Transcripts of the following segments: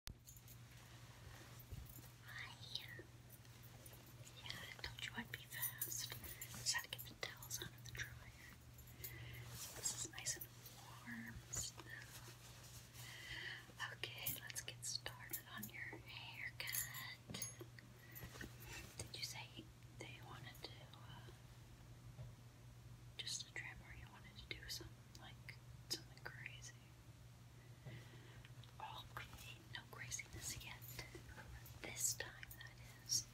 Hi. Uh, yeah, I told you I'd be fast. Just had to get the towels out of the dryer. this is nice and warm Okay, let's get started on your haircut. Did you say they wanted to uh, just a trim, or you wanted to do something like something crazy? no craziness yet. This time, that is.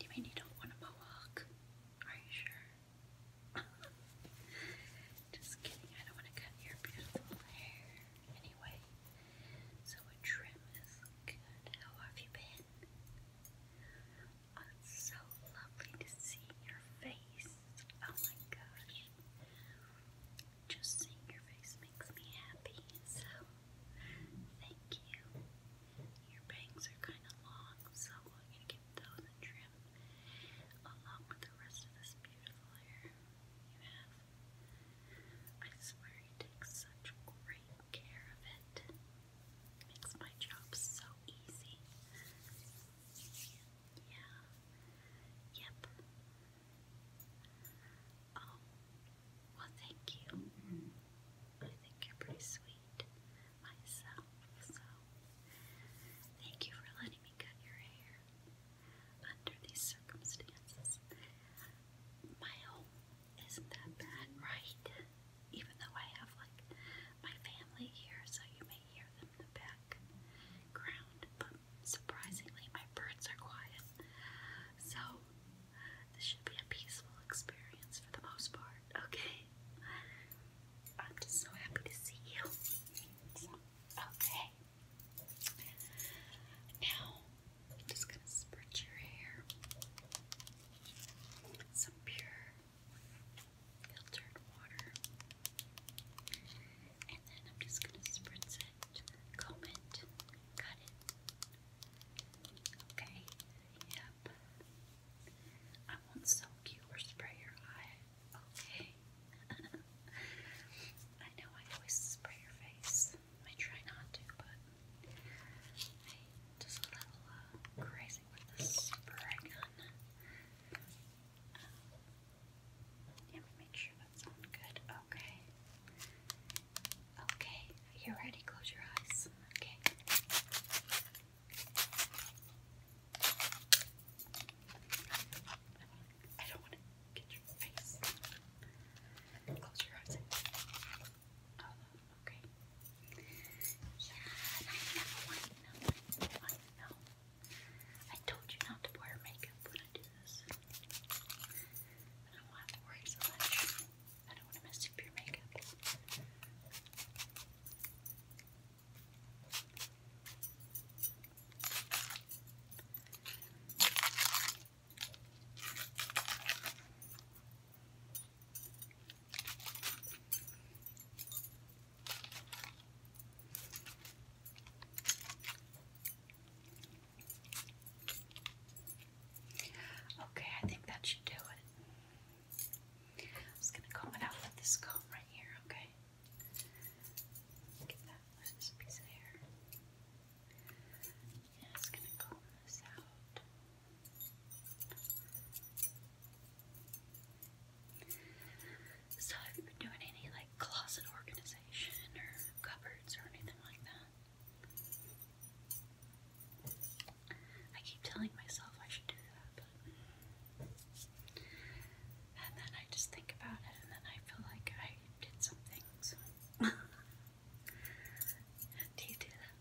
You mean you don't want a mohawk? Are you sure? Just kidding, I don't want to cut your beautiful hair anyway. So a trim is good. How have you been? Oh, so lovely to see your face. Oh my gosh. Just seeing your face makes me happy, so thank you. Your bangs are kind of long, so I'm going to give those a trim along with the rest of this beautiful hair you have. I swear you take such great care of it. Makes my job so easy. Yeah. Yep. Oh, well, thank you. I think you're pretty sweet myself, so thank you for letting me cut your hair under these circumstances. My home isn't that bad, right? Even though I have like my family here, so you may hear them in the background, but surprisingly, my birds are quiet. So, this should be a peaceful experience for the most part, okay? I'm just so happy to see you. okay. Now, I'm just gonna spritz your hair. Some pure filtered water. And then I'm just going to spritz it, comb it, cut it. Okay, yep. I won't soak you or spray your eye, okay? I know I always spray your face. I try not to, but i just a little crazy with this spray gun. Let make sure that's on good. Okay. Okay. you ready. Close your eyes. Okay. I don't want to get your face. Close your eyes. Oh, okay. Yeah, I know, I know, I know. I told you not to wear makeup when I do this. I don't want to mess up your makeup. Okay, I think that should do it. I'm just gonna comb it out with this comb right here, okay? Get that piece of hair. Yeah, it's gonna comb this out. So, have you been doing any like closet organization or cupboards or anything like that? I keep telling myself I should do that, but. And then I just think about it, and then I feel like I did something. do you do that?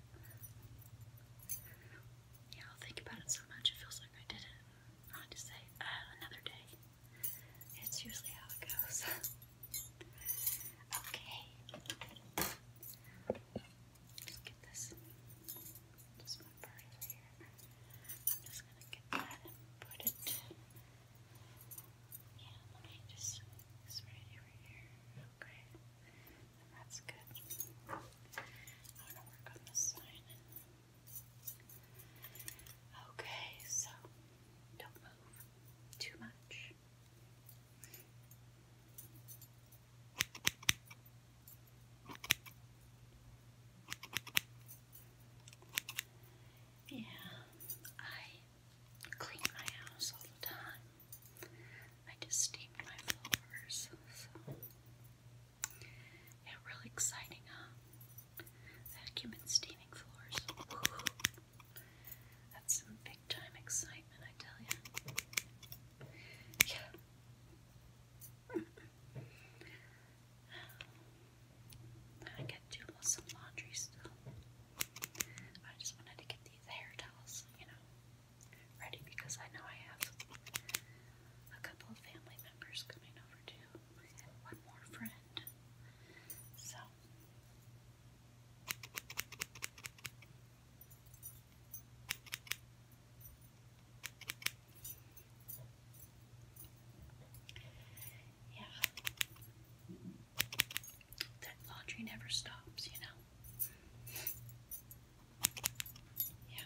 Yeah, I'll think about it so much, it feels like I did it. I say, uh, another day. It's usually how it goes. okay. Just get this. Just my part over here. I'm just gonna get that and put it. Yeah, let just spread it over here. Okay. that's good. I'm gonna work on this sign Okay, so don't move too much. Yeah, I clean my house all the time. I just steam my floors. Yeah, really exciting, huh? Vacuum and steaming floors. Ooh. That's some big time excitement, I tell you. Yeah. I got to do some laundry still. I just wanted to get these hair towels, you know, ready because I know I have a couple of family members coming over too. I have one more friend. So yeah. That laundry never stops, you know. Yeah.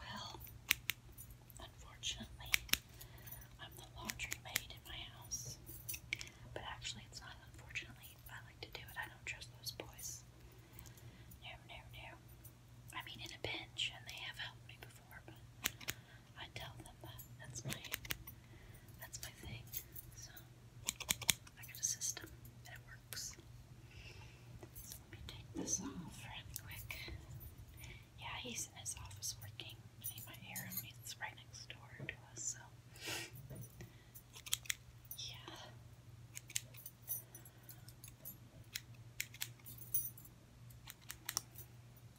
Well, unfortunately, I'm the laundry maid in my house. But actually, it's not unfortunately. I like to do it. I don't trust those boys. No, no, no. I mean, in a pinch, and they have helped me before, but I tell them that that's my that's my thing. So I got a system and it works. Let me take this off quick. Yeah, he's in his office working. You might hear him. right next door to us, so. Yeah.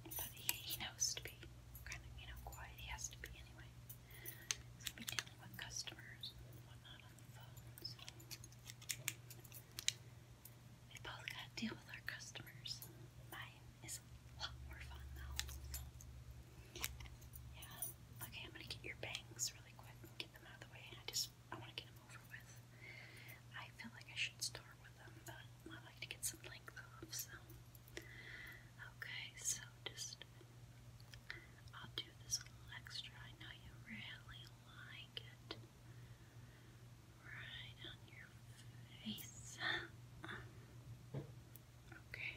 But he, knows to be kind of, you know, quiet. He has to be anyway. be dealing with customers and on the phone, we both got to deal with our customers. Mine is a lot more fun though. Yeah. Okay, I'm gonna get your bangs really quick get them out of the way. I just I want to get them over with. I feel like I should start with them, but I like to get some length off. So okay, so just I'll do this little extra. I know you really like it right on your face. Um, okay.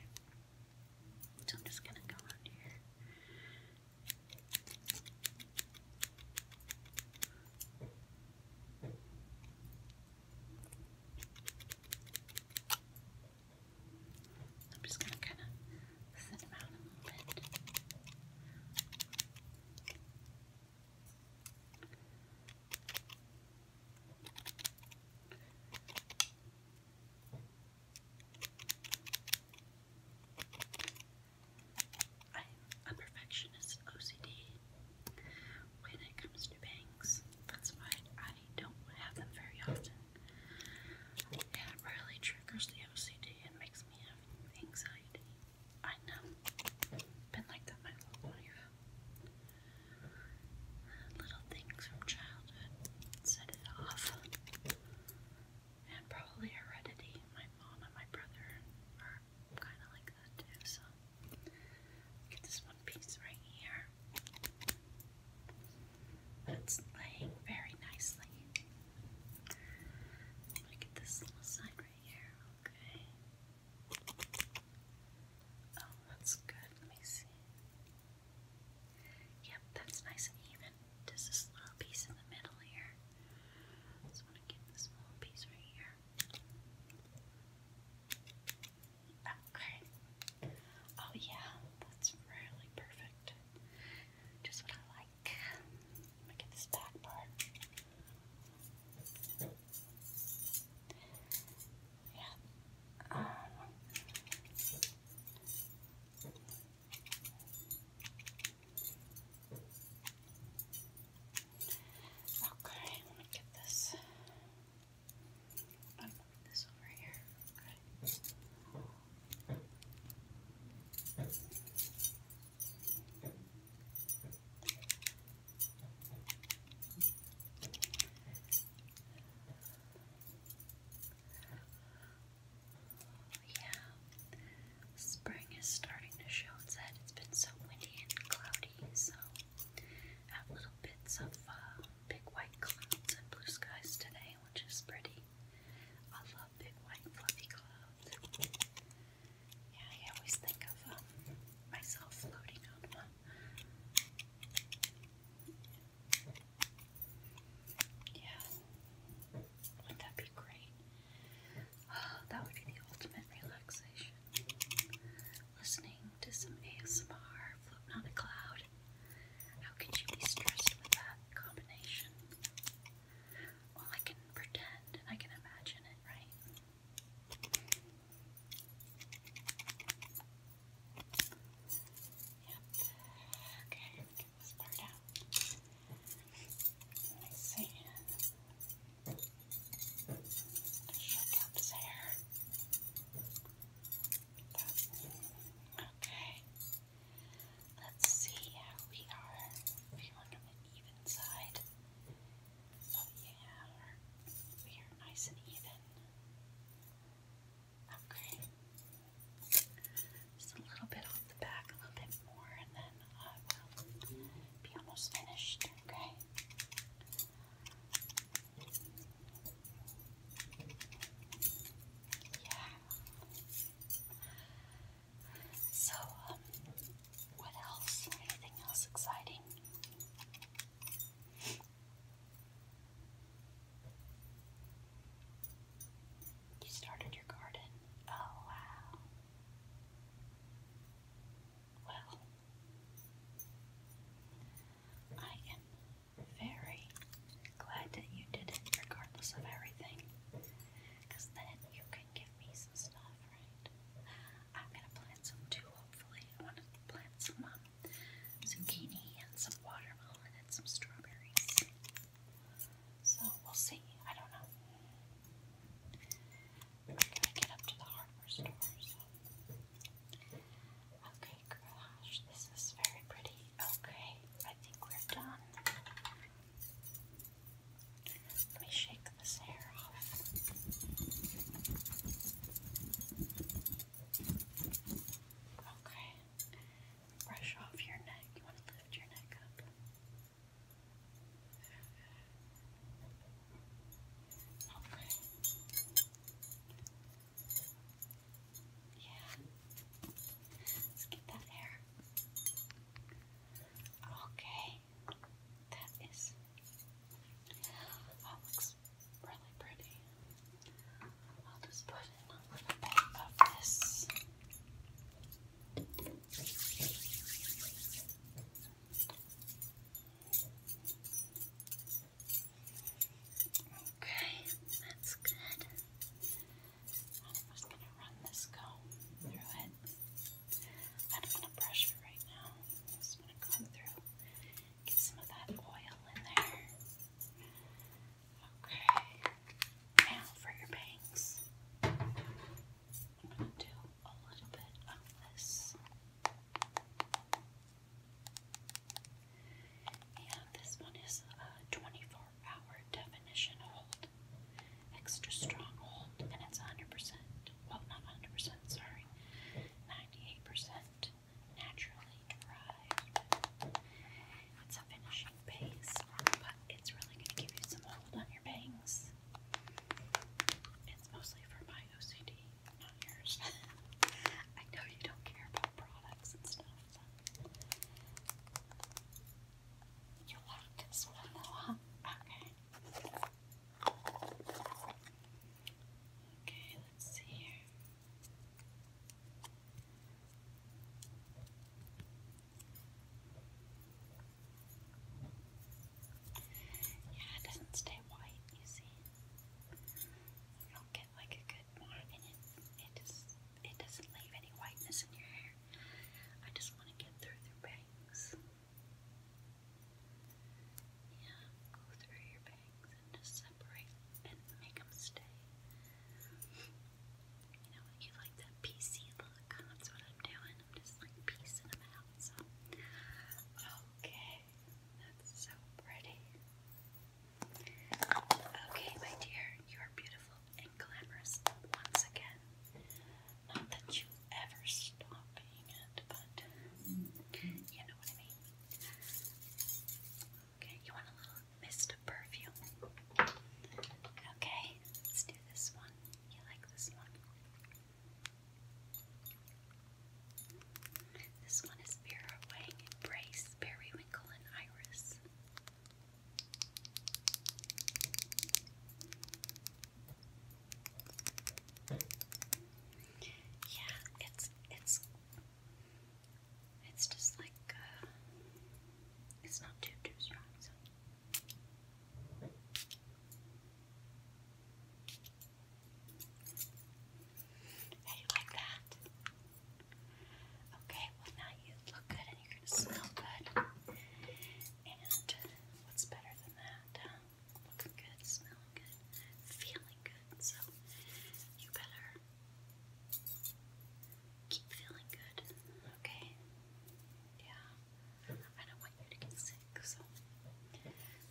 So I'm just gonna go on here. I'm just gonna kind of thin them out a little bit. I'm perfectionist OCD when it comes to bangs. That's why I don't have them very often. it really triggers the OCD and makes me have anxiety. I know. Been like that my whole life. Little things from childhood set it off. And probably heredity. My mom and my brother are kind of like that too, so. Get this one piece right here. It's laying very nicely. I'm get this little side right here, okay? Oh, that's good. Let me see. Yep, that's nice and even. Just this little piece in the middle here. just want to get this little piece right here. Okay. Oh, yeah, that's really perfect. Just what I like like. Let me get this back part. Yeah. Um, okay, let me get this. i this over here. Yeah, spring is starting to show its head. It's been so windy and cloudy, so have little bits of uh, big white clouds and blue skies today, which is pretty. I yeah, I always think of um, myself floating on one. Yeah, wouldn't that be great? Oh, that would be the ultimate relaxation. Listening to some ASMR, floating on a cloud. How could you be stressed with that combination? Well, I can pretend and I can imagine it, right? Yep. Okay, get this part out. I see. Shook up his hair. Okay. Let's see how we are feeling on the even side. Oh, yeah, we are nice and even. Okay. Just a little bit off the back, a little bit more, and then I uh, will be almost finished, okay? Yeah. So, um, what else? Anything else exciting? You started your garden. Oh, wow. Well, I am very glad that you did it regardless of everything because then you can give me stuff, right? I'm gonna plant some too, hopefully. want to plant some um, zucchini and some watermelon and some strawberries. So we'll see. I don't know. We are gonna get up to the hardware store, Okay, gosh, this is very pretty. Okay, I think we're done. Let me shake this hair off. Okay. Brush off your neck. You want to lift your neck up. Okay. Yeah. Let's get that hair. Okay, that is. That looks really pretty. I'll put in a little bit of this. Okay, that's good. I'm just going to run this comb through it. I don't want to brush it right now. I just want to comb through, get some of that oil in there. Okay, now for your bangs. I'm going to do a little bit of this. And this one is a 24 hour definition hold. Extra strong hold, and it's 100%. Well, not 100%, sorry. 98% naturally derived. It's a finishing base, but it's really going to give you some hold on your bangs. It's mostly for my OCD, not yours. I know you don't care about products and stuff. You like this one more, huh? Okay. Okay, let's see here. Yeah, it doesn't stay white, you see. You don't get like a good It just it doesn't leave any whiteness in your hair. I just want to get through their bangs. Yeah, go through your bangs and just separate and make them stay. You know, you like that PC look. That's what I'm doing. I'm just like piecing them out. okay, that's so pretty. Okay, my dear, you are beautiful and glamorous once again. Not that you ever stop being it, but you know what I mean. Okay, you want a little mist of perfume? Okay, let's do this one. You like this one? This one is Vera Wang Embrace Periwinkle and Iris. Yeah, it's it's it's just like uh, it's not too too strong. So. How do you like that? Okay, well now you look good and you're gonna smell good. And what's better than that? Looking good, smelling good, feeling good. So you better keep feeling good, okay? Yeah. I don't want you to get sick, so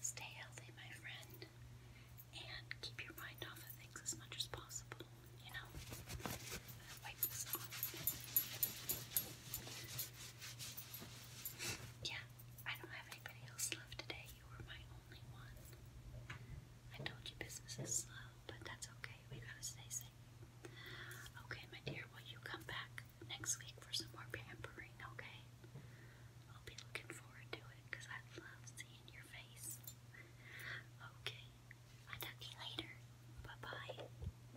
stay healthy, my friend, and keep your mind off of things as much as possible, you know? Yeah, I don't have anybody else left today. You were my only one. I told you business is slow, but that's okay. We gotta stay safe. Okay, my dear, will you come back next week for some more pampering, okay? I'll be looking forward to it because I love seeing your face. Okay, I'll talk to you later. Bye bye.